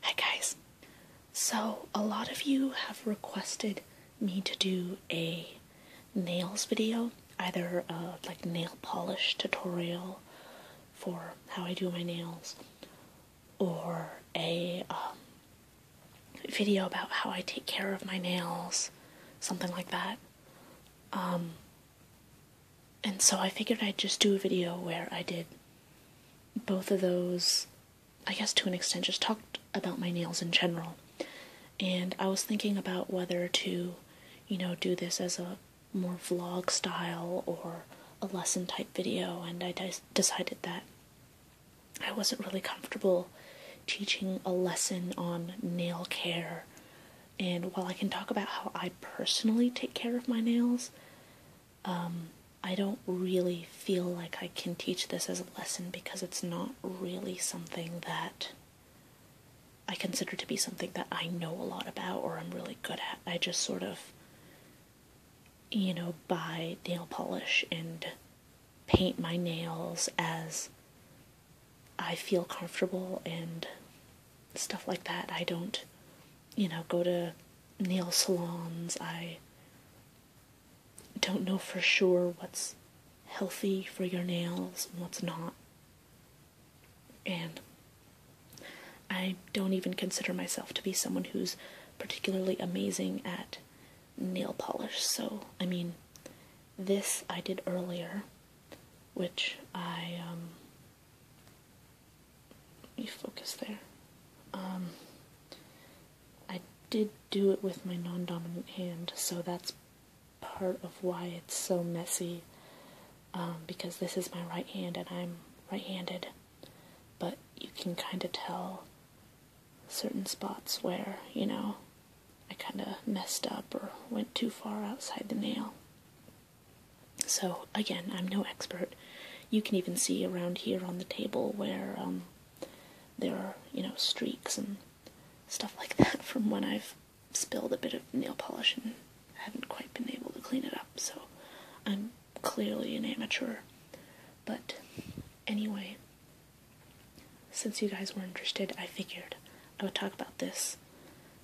Hi guys. So, a lot of you have requested me to do a nails video, either a like nail polish tutorial for how I do my nails or a um, video about how I take care of my nails, something like that. Um, and so I figured I'd just do a video where I did both of those, I guess to an extent, just talked about my nails in general. And I was thinking about whether to, you know, do this as a more vlog style or a lesson type video, and I decided that I wasn't really comfortable teaching a lesson on nail care. And while I can talk about how I personally take care of my nails, um, I don't really feel like I can teach this as a lesson because it's not really something that I consider to be something that I know a lot about or I'm really good at. I just sort of, you know, buy nail polish and paint my nails as I feel comfortable and stuff like that. I don't, you know, go to nail salons. I don't know for sure what's healthy for your nails and what's not. And I don't even consider myself to be someone who's particularly amazing at nail polish. So, I mean, this I did earlier, which I um, let focus there. Um, I did do it with my non-dominant hand, so that's part of why it's so messy. Um, because this is my right hand and I'm right-handed, but you can kind of tell certain spots where you know I kind of messed up or went too far outside the nail. So, again, I'm no expert. You can even see around here on the table where um, there are, you know, streaks and stuff like that from when I've spilled a bit of nail polish and haven't quite been able to clean it up. So, I'm clearly an amateur. But anyway, since you guys were interested, I figured I would talk about this.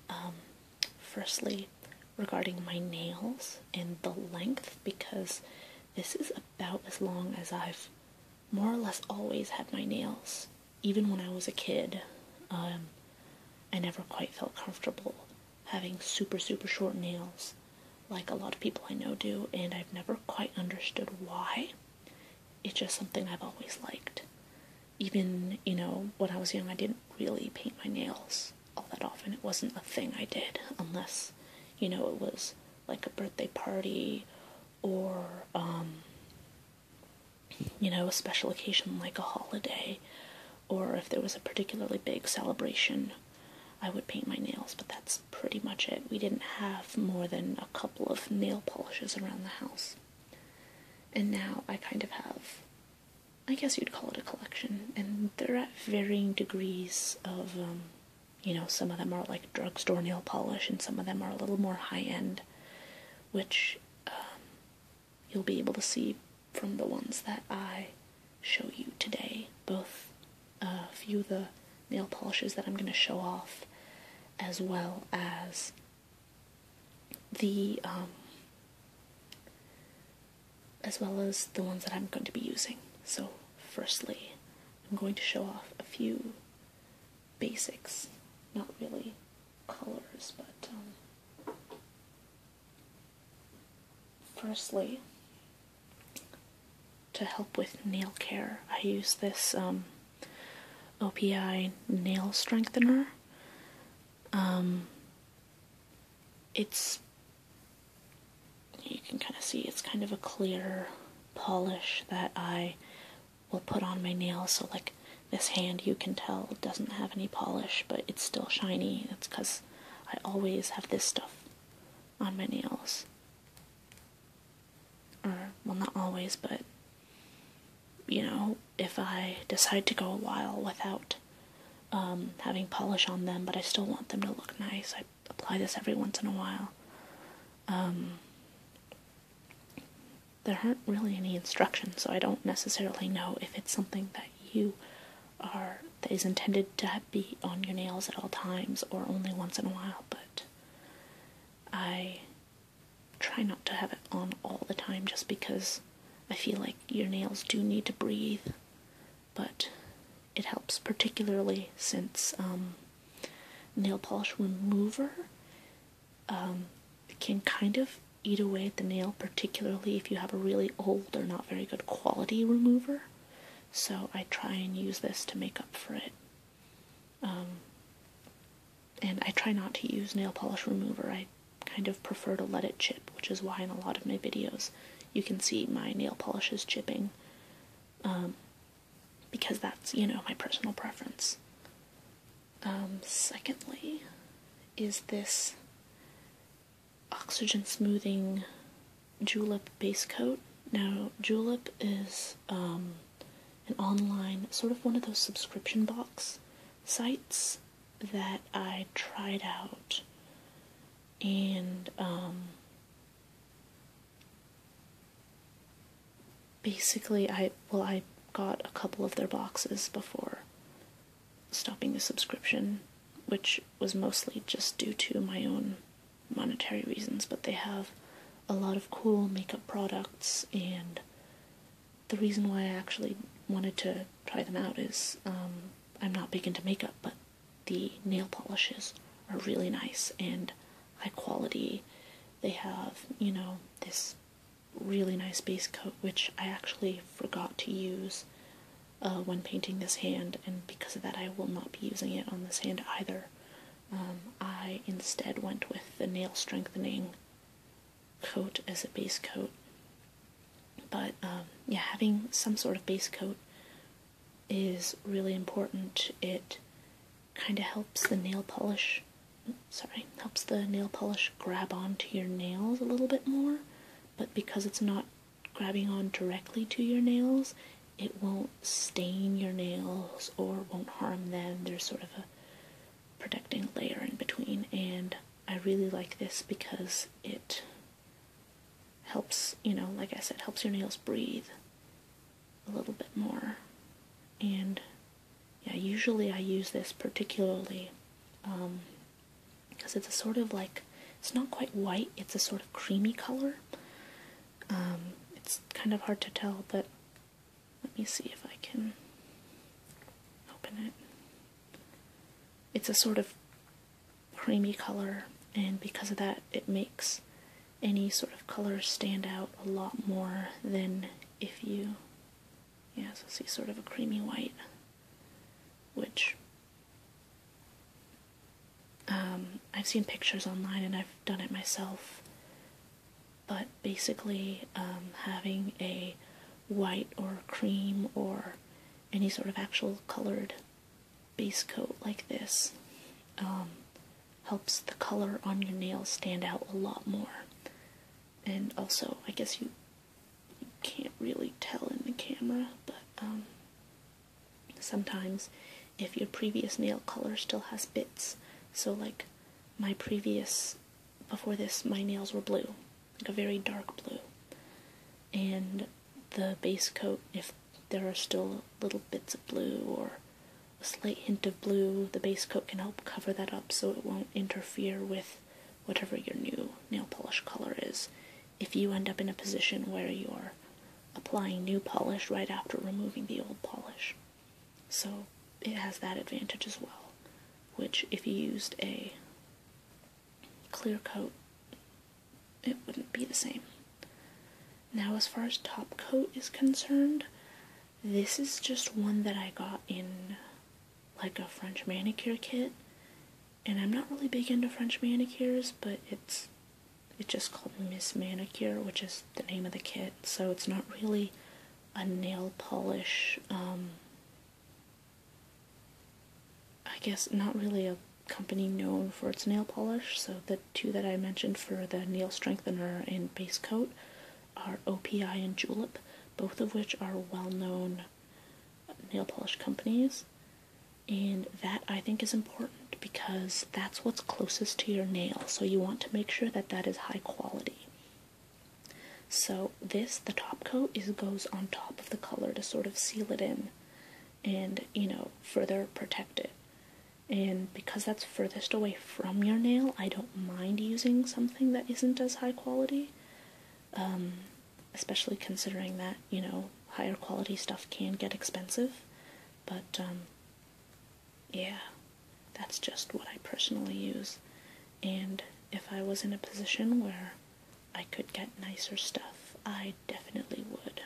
Um, firstly, regarding my nails and the length because this is about as long as I've more or less always had my nails. Even when I was a kid, um, I never quite felt comfortable having super, super short nails like a lot of people I know do, and I've never quite understood why. It's just something I've always liked. Even, you know, when I was young, I didn't really paint my nails all that often. It wasn't a thing I did unless, you know, it was like a birthday party or, um, you know, a special occasion like a holiday or if there was a particularly big celebration. I would paint my nails, but that's pretty much it. We didn't have more than a couple of nail polishes around the house. And now I kind of have I guess you'd call it a collection, and they're at varying degrees of, um, you know, some of them are like drugstore nail polish, and some of them are a little more high end, which um, you'll be able to see from the ones that I show you today. Both uh, a few of the nail polishes that I'm going to show off, as well as the um, as well as the ones that I'm going to be using. So, firstly, I'm going to show off a few basics, not really colors, but um, firstly, to help with nail care, I use this um, OPI nail strengthener. Um, it's you can kind of see it's kind of a clear polish that I will put on my nails. So, like this hand, you can tell doesn't have any polish, but it's still shiny. It's because I always have this stuff on my nails. Or, well, not always, but you know, if I decide to go a while without um, having polish on them, but I still want them to look nice. I apply this every once in a while. Um, there aren't really any instructions, so I don't necessarily know if it's something that you are that is intended to be on your nails at all times or only once in a while, but I try not to have it on all the time just because I feel like your nails do need to breathe but it helps, particularly since um, nail polish remover um, can kind of eat away at the nail, particularly if you have a really old or not very good quality remover. So I try and use this to make up for it. Um, and I try not to use nail polish remover. I kind of prefer to let it chip, which is why in a lot of my videos you can see my nail polish is chipping um, because that's, you know, my personal preference. Um, secondly, is this oxygen smoothing julep base coat. Now, julep is um, an online, sort of one of those subscription box sites that I tried out and um, basically I well I got a couple of their boxes before stopping the subscription, which was mostly just due to my own monetary reasons, but they have a lot of cool makeup products and the reason why I actually wanted to try them out is um, I'm not big into makeup, but the nail polishes are really nice and high quality. They have, you know, this really nice base coat, which I actually forgot to use uh, when painting this hand, and because of that, I will not be using it on this hand either. Um, I instead went with the nail strengthening coat as a base coat. But um, yeah, having some sort of base coat is really important. It kind of helps the nail polish, sorry, helps the nail polish grab onto your nails a little bit more, but because it's not grabbing on directly to your nails, it won't stain your nails or won't harm them. There's sort of a protecting layer in between, and I really like this because it helps, you know, like I said, helps your nails breathe a little bit more. And yeah, usually I use this particularly because um, it's a sort of like, it's not quite white, it's a sort of creamy color. Um, it's kind of hard to tell, but let me see if I can open it. It's a sort of creamy color and because of that it makes any sort of color stand out a lot more than if you yeah so see sort of a creamy white which um, I've seen pictures online and I've done it myself but basically um, having a white or cream or any sort of actual colored base coat like this um, helps the color on your nails stand out a lot more. And also, I guess you, can't really tell in the camera, but um, sometimes if your previous nail color still has bits, so like my previous, before this, my nails were blue, like a very dark blue. And the base coat if there are still little bits of blue or a slight hint of blue, the base coat can help cover that up so it won't interfere with whatever your new nail polish color is. If you end up in a position where you're applying new polish right after removing the old polish. So it has that advantage as well, which if you used a clear coat, it wouldn't be the same. Now, as far as top coat is concerned, this is just one that I got in like a French manicure kit. And I'm not really big into French manicures, but it's it's just called Miss Manicure, which is the name of the kit. So it's not really a nail polish um, I guess not really a company known for its nail polish, so the two that I mentioned for the nail strengthener and base coat are OPI and Julep, both of which are well known nail polish companies. And that I think is important because that's what's closest to your nail, so you want to make sure that that is high quality. So this, the top coat, is goes on top of the color to sort of seal it in and you know further protect it and because that's furthest away from your nail i don't mind using something that isn't as high quality um, especially considering that you know higher quality stuff can get expensive but um, yeah that's just what i personally use and if i was in a position where i could get nicer stuff i definitely would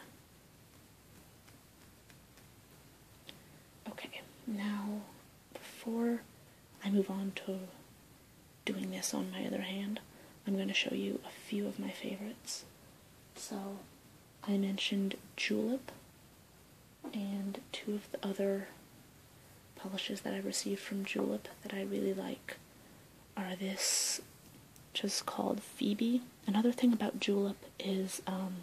Okay, now before I move on to doing this on my other hand, I'm going to show you a few of my favorites. So I mentioned Julep and two of the other polishes that I received from Julep that I really like are this just called Phoebe. Another thing about Julep is um,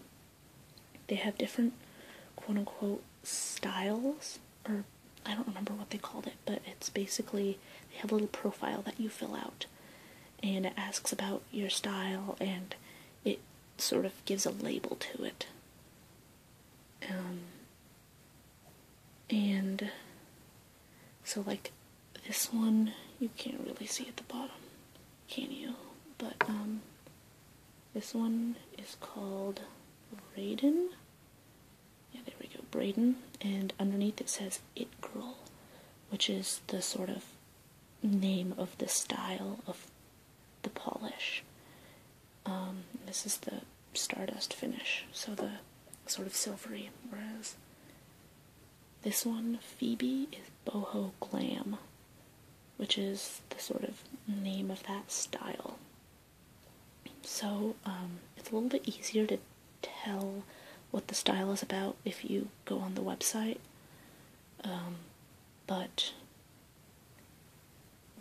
they have different quote unquote styles, or I don't remember what they called it, but it's basically they have a little profile that you fill out and it asks about your style and it sort of gives a label to it. Um, and so like this one, you can't really see at the bottom, can you? But um, this one is called Raiden. Yeah, there we go, Braden. And underneath it says It Girl, which is the sort of name of the style of the polish. Um, this is the Stardust finish, so the sort of silvery, whereas this one, Phoebe, is boho glam, which is the sort of name of that style. So um, it's a little bit easier to tell what the style is about if you go on the website. Um, but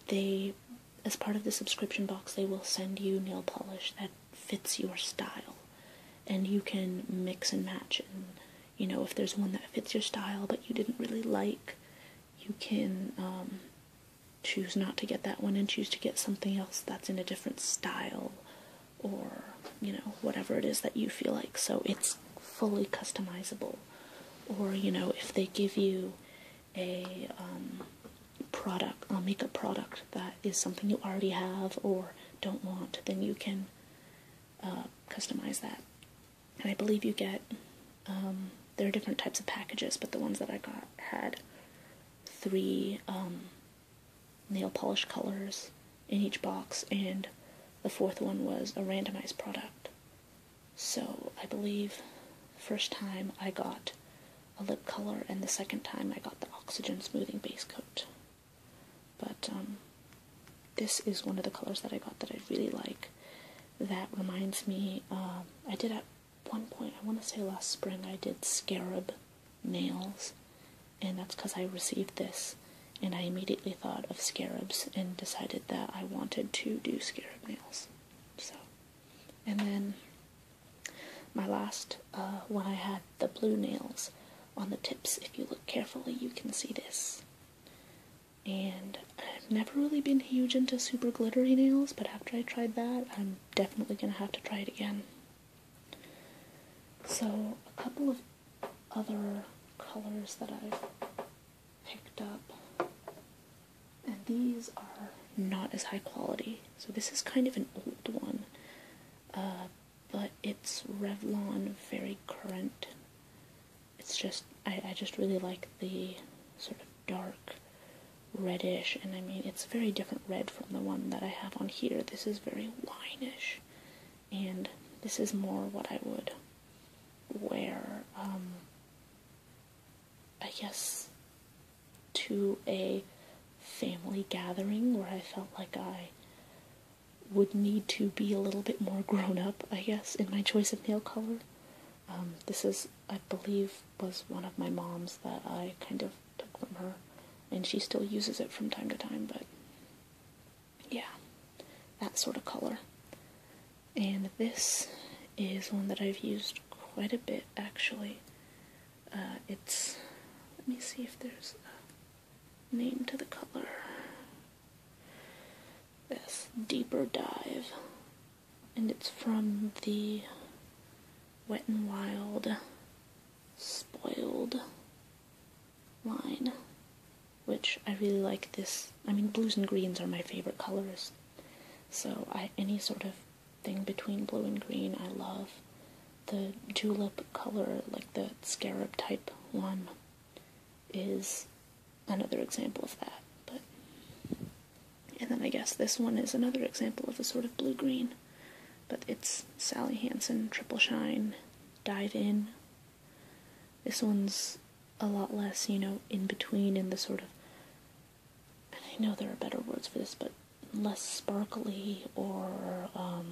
they, as part of the subscription box, they will send you nail polish that fits your style and you can mix and match and you know if there's one that fits your style but you didn't really like you can um, choose not to get that one and choose to get something else that's in a different style or you know whatever it is that you feel like so it's fully customizable or you know if they give you a um, product a makeup product that is something you already have or don't want then you can uh, customize that. And I believe you get um, there are different types of packages, but the ones that I got had three um, nail polish colors in each box, and the fourth one was a randomized product. So I believe the first time I got a lip color, and the second time I got the oxygen smoothing base coat. But um, this is one of the colors that I got that I really like. That reminds me, um, I did at one point, I want to say last spring, I did scarab nails. And that's because I received this. And I immediately thought of scarabs and decided that I wanted to do scarab nails. So, and then my last uh, when I had the blue nails on the tips. If you look carefully, you can see this. And I've never really been huge into super glittery nails, but after I tried that, I'm definitely going to have to try it again. So, a couple of other colors that I've picked up, and these are not as high quality. So, this is kind of an old one. Uh, but it's Revlon very current. It's just I, I just really like the sort of dark reddish and I mean it's very different red from the one that I have on here. This is very wineish and this is more what I would wear um I guess to a family gathering where I felt like I would need to be a little bit more grown up, I guess, in my choice of nail color. Um, this is, I believe, was one of my mom's that I kind of took from her, and she still uses it from time to time, but yeah, that sort of color. And this is one that I've used quite a bit, actually. Uh, it's, let me see if there's, name to the color. This deeper dive, and it's from the Wet and Wild Spoiled line, which I really like. This, I mean, blues and greens are my favorite colors, so I any sort of thing between blue and green I love the tulip color, like the scarab type one, is another example of that. But and then I guess this one is another example of a sort of blue green, but it's Sally Hansen Triple Shine Dive In. This one's a lot less, you know, in between in the sort of. And I know there are better words for this, but less sparkly or um,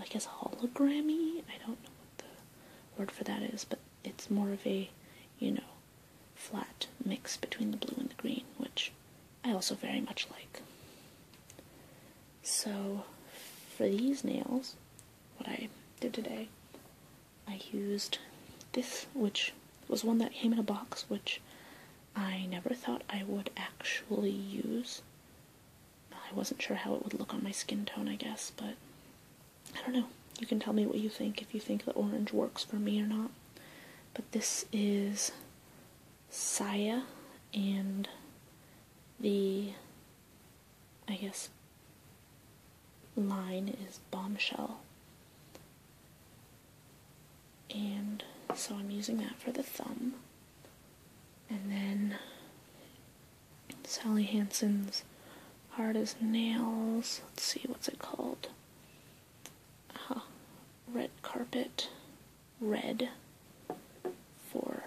I guess hologrammy. I don't know what the word for that is, but it's more of a, you know, flat mix between the blue and the green, which I also very much like. So for these nails, what I did today, I used this, which was one that came in a box, which I never thought I would actually use I wasn't sure how it would look on my skin tone, I guess, but I don't know. You can tell me what you think, if you think the orange works for me or not. But this is Saya and the, I guess, line is Bombshell. And so I'm using that for the thumb. And then Sally Hansen's Hard as Nails. Let's see, what's it called? Uh-huh. red Carpet Red for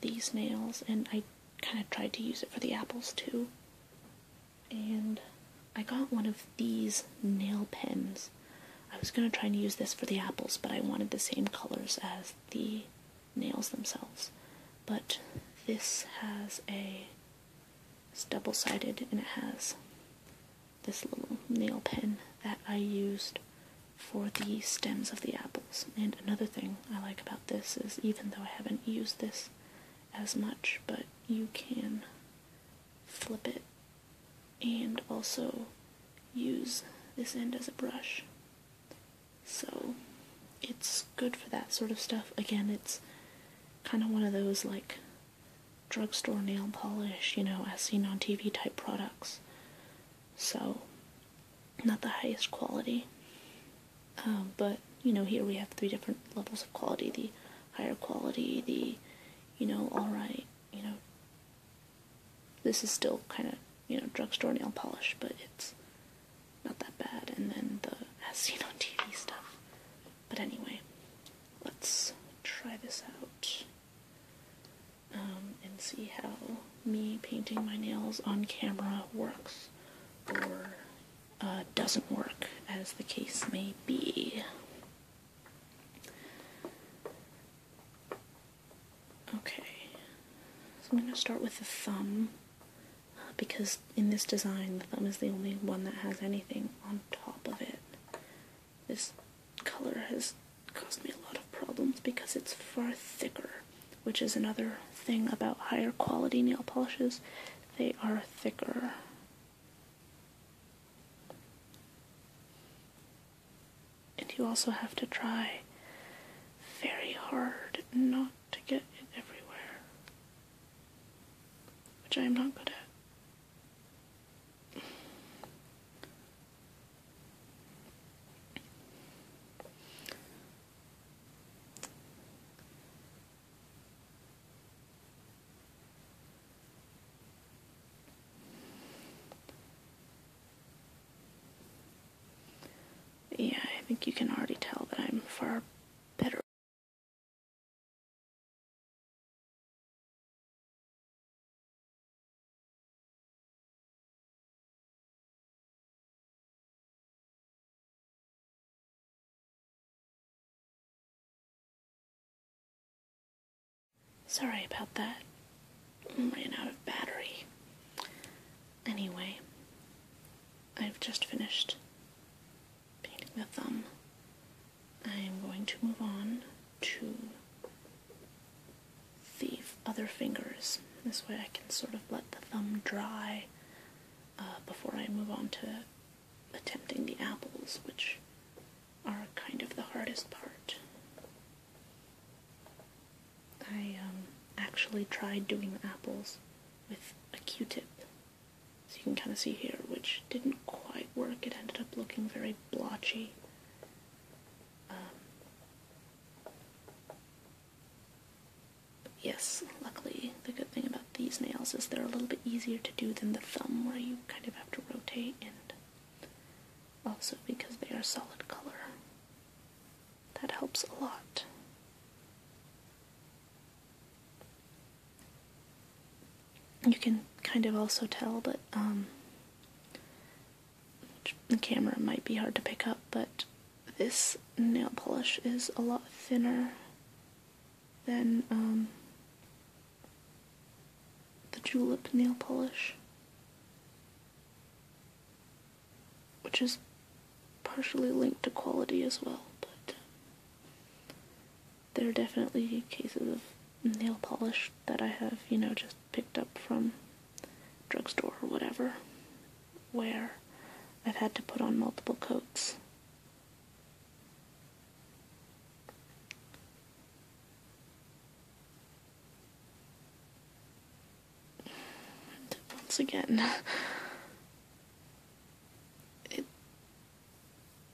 these nails. And I kind of tried to use it for the apples too. And I got one of these nail pens. I was going to try and use this for the apples, but I wanted the same colors as the nails themselves. But this has a it's double sided and it has this little nail pen that I used for the stems of the apples. And another thing I like about this is even though I haven't used this as much, but you can flip it and also use this end as a brush so it's good for that sort of stuff. Again, it's kind of one of those like drugstore nail polish, you know, as seen on TV type products. So not the highest quality. Um, but you know, here we have three different levels of quality: the higher quality, the you know, all right, you know, this is still kind of, you know, drugstore nail polish, but it's not that bad. And then the Asino TV stuff. But anyway, let's try this out um, and see how me painting my nails on camera works or uh, doesn't work, as the case may be. Okay, so I'm going to start with the thumb uh, because in this design the thumb is the only one that has anything on top of it. This color has caused me a lot of problems because it's far thicker, which is another thing about higher quality nail polishes. They are thicker. And you also have to try very hard not to get it everywhere, which I am not good at. Yeah, I think you can already tell that I'm far better. Sorry about that ran out of battery. Anyway, I've just finished painting the thumb. I'm going to move on to the other fingers. This way I can sort of let the thumb dry uh, before I move on to attempting the apples, which are kind of the hardest part. I um, actually tried doing apples with a Q-tip, so you can kind of see here, which didn't quite work. It ended up looking very blotchy. Um, yes, luckily the good thing about these nails is they're a little bit easier to do than the thumb, where you kind of have to rotate and also because they are solid color that helps a lot. You can kind of also tell but um, the camera might be hard to pick up, but this nail polish is a lot thinner than um, the julep nail polish which is partially linked to quality as well, but uh, there are definitely cases of nail polish that I have, you know, just picked up from drugstore or whatever, where I've had to put on multiple coats. And once again, it,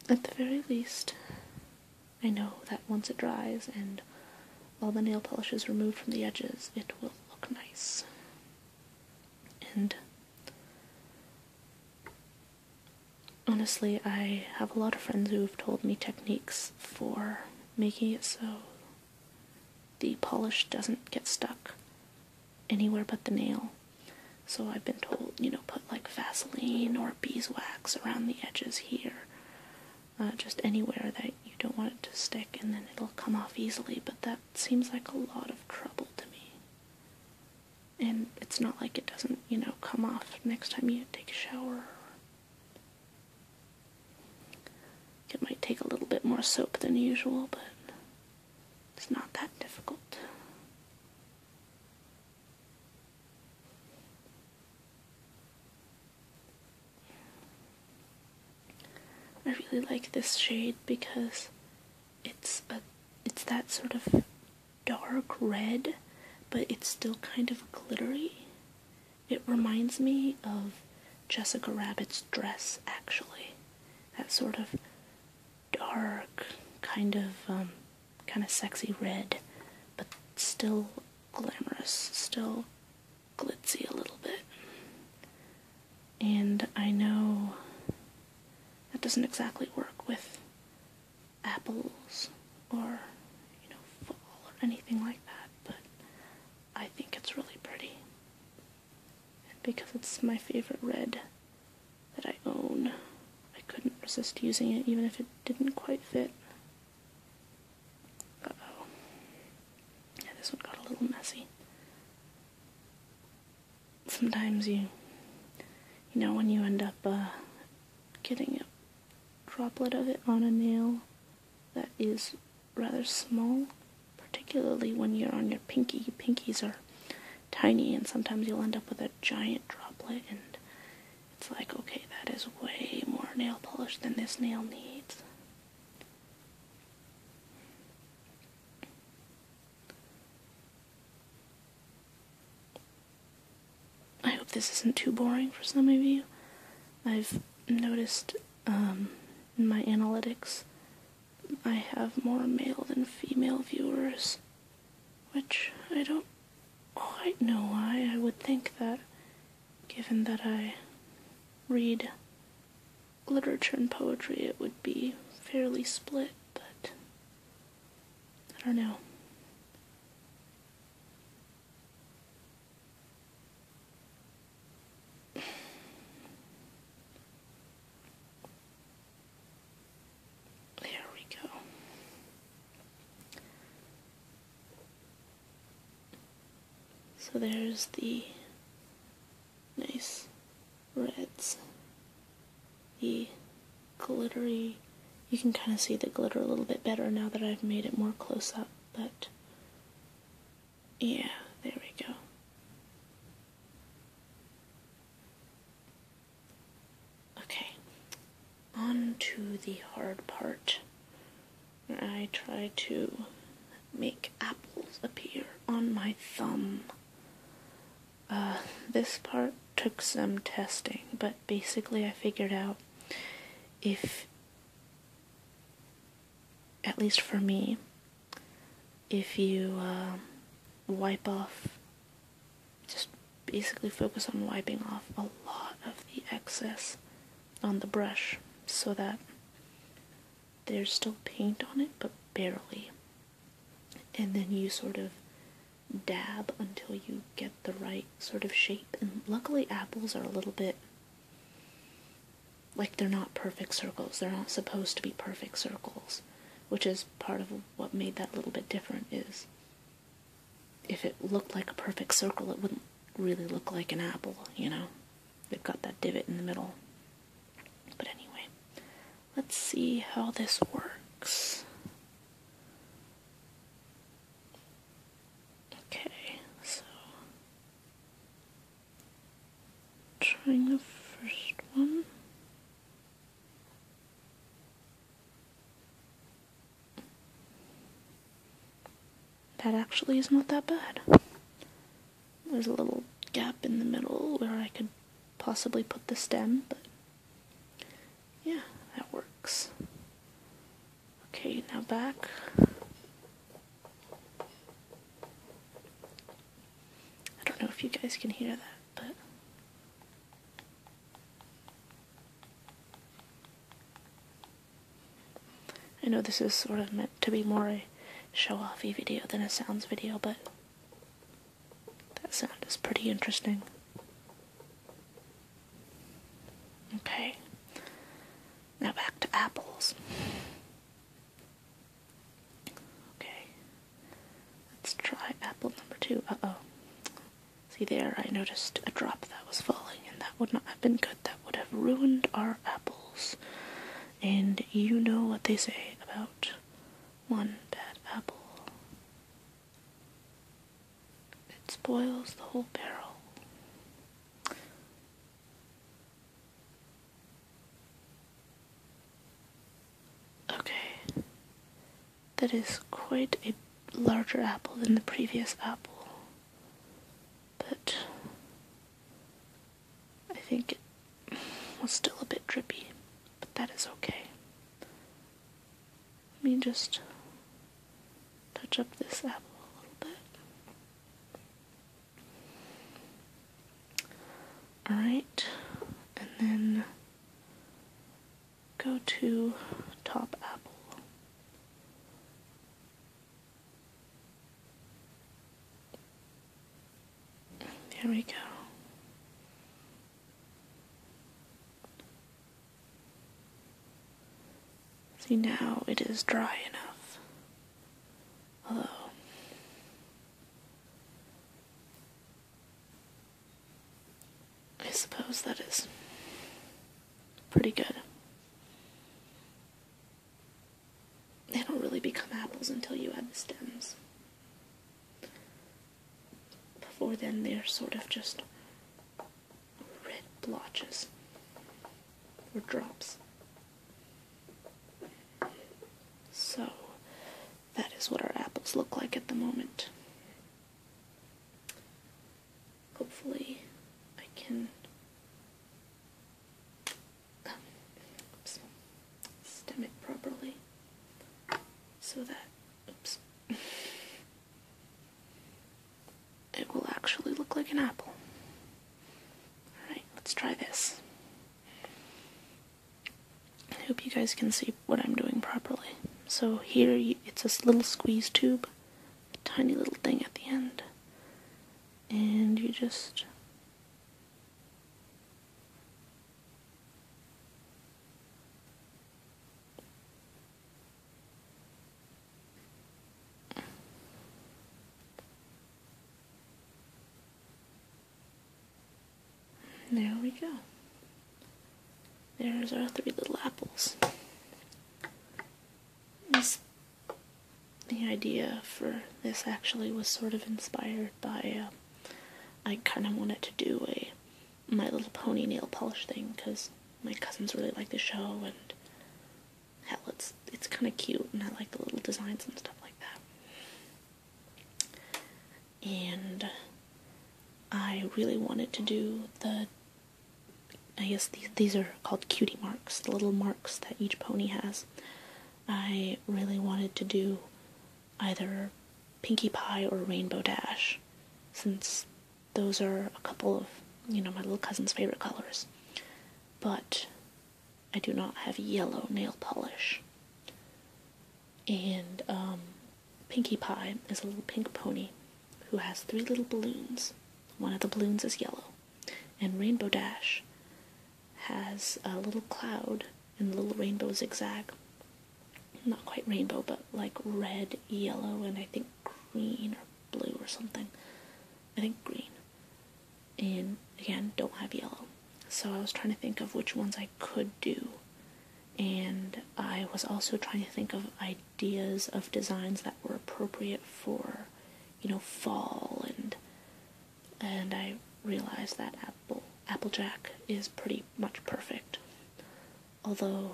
at the very least, I know that once it dries and all the nail polish is removed from the edges, it will look nice. And honestly, I have a lot of friends who have told me techniques for making it so the polish doesn't get stuck anywhere but the nail. So I've been told, you know, put like Vaseline or beeswax around the edges here. Uh, just anywhere that you don't want it to stick and then it'll come off easily, but that seems like a lot of trouble to me. And it's not like it doesn't, you know, come off next time you take a shower it might take a little bit more soap than usual, but it's not that difficult. I really like this shade because it's a it's that sort of dark red, but it's still kind of glittery. It reminds me of Jessica Rabbit's dress, actually. That sort of dark, kind of, um, kind of sexy red, but still glamorous, still glitzy a little bit. And I know that doesn't exactly work with apples or, you know, fall or anything like that, but I think it's really pretty. And because it's my favorite red that I own, I couldn't resist using it even if it didn't quite fit. Uh-oh. this one got a little messy. Sometimes you, you know, when you end up uh, getting a droplet of it on a nail, that is rather small, particularly when you're on your pinky. pinkies are tiny, and sometimes you'll end up with a giant droplet, and it's like, okay, that is way more nail polish than this nail needs. I hope this isn't too boring for some of you. I've noticed um, in my analytics, I have more male than female viewers, which I don't quite know why. I would think that, given that I read literature and poetry, it would be fairly split, but I don't know. There we go. So there's the nice reds, the glittery, you can kind of see the glitter a little bit better now that I've made it more close up, but yeah, there we go. Okay, on to the hard part I try to make apples appear on my thumb. Uh, this part took some testing, but basically I figured out if at least for me, if you um, wipe off, just basically focus on wiping off a lot of the excess on the brush so that there's still paint on it, but barely. And then you sort of dab until you get the right sort of shape. And luckily, apples are a little bit like they're not perfect circles. They're not supposed to be perfect circles, which is part of what made that little bit different is if it looked like a perfect circle, it wouldn't really look like an apple, you know? They've got that divot in the middle. But anyway, let's see how this works. Okay, so trying the first one. That actually is not that bad. There's a little gap in the middle where I could possibly put the stem, but yeah, that works. Okay, now back. I don't know if you guys can hear that, but. I know this is sort of meant to be more a show offy video than a sounds video, but that sound is pretty interesting. Okay, now back to apples. Okay. Let's try apple number two. Uh oh. See there, I noticed a drop that was falling, and that would not have been good. That would have ruined our apples. And you know what they say about one bad apple it spoils the whole barrel. Okay. That is quite a larger apple than the previous apple. But I think it was still a bit drippy, but that is okay. Let me just touch up this apple a little bit. Alright, and then go to top apple. There we go. See, now it is dry enough Hello. I suppose that is pretty good. They don't really become apples until you add the stems. Before then, they're sort of just red blotches or drops. So that is what our apples look like at the moment. Hopefully I can um, stem it properly so that it will actually look like an apple. Alright, let's try this. I hope you guys can see what I'm doing properly. So here, it's this little squeeze tube, tiny little thing at the end, and you just there we go. There's our three little apples. This, the idea for this actually was sort of inspired by, uh, I kind of wanted to do a My Little Pony nail polish thing because my cousins really like the show and hell, it's kind of cute, and I like the little designs and stuff like that. And I really wanted to do the. I guess these these are called cutie marks, the little marks that each pony has. I really wanted to do either Pinkie Pie or Rainbow Dash, since those are a couple of you know my little cousin's favorite colors. But I do not have yellow nail polish. And um, Pinkie Pie is a little pink pony who has three little balloons. One of the balloons is yellow. And Rainbow Dash has a little cloud and little rainbow zigzag. Not quite rainbow, but like red, yellow, and I think green or blue or something. I think green and again don't have yellow so i was trying to think of which ones i could do and i was also trying to think of ideas of designs that were appropriate for you know fall and and i realized that apple applejack is pretty much perfect although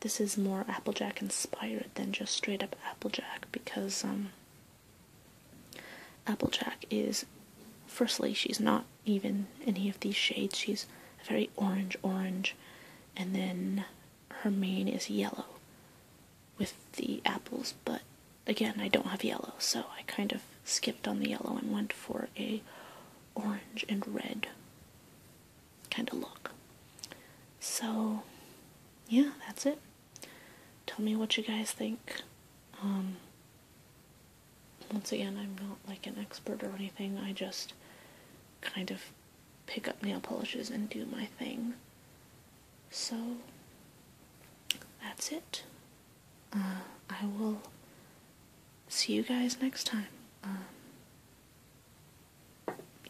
this is more applejack inspired than just straight up applejack because um Applejack is, firstly, she's not even any of these shades. She's very orange, orange, and then her mane is yellow with the apples. But again, I don't have yellow, so I kind of skipped on the yellow and went for a orange and red kind of look. So, yeah, that's it tell me what you guys think. Um, once again, I'm not like an expert or anything. I just kind of pick up nail polishes and do my thing. So that's it. Uh, I will see you guys next time. Um,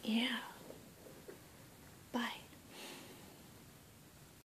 yeah. Bye.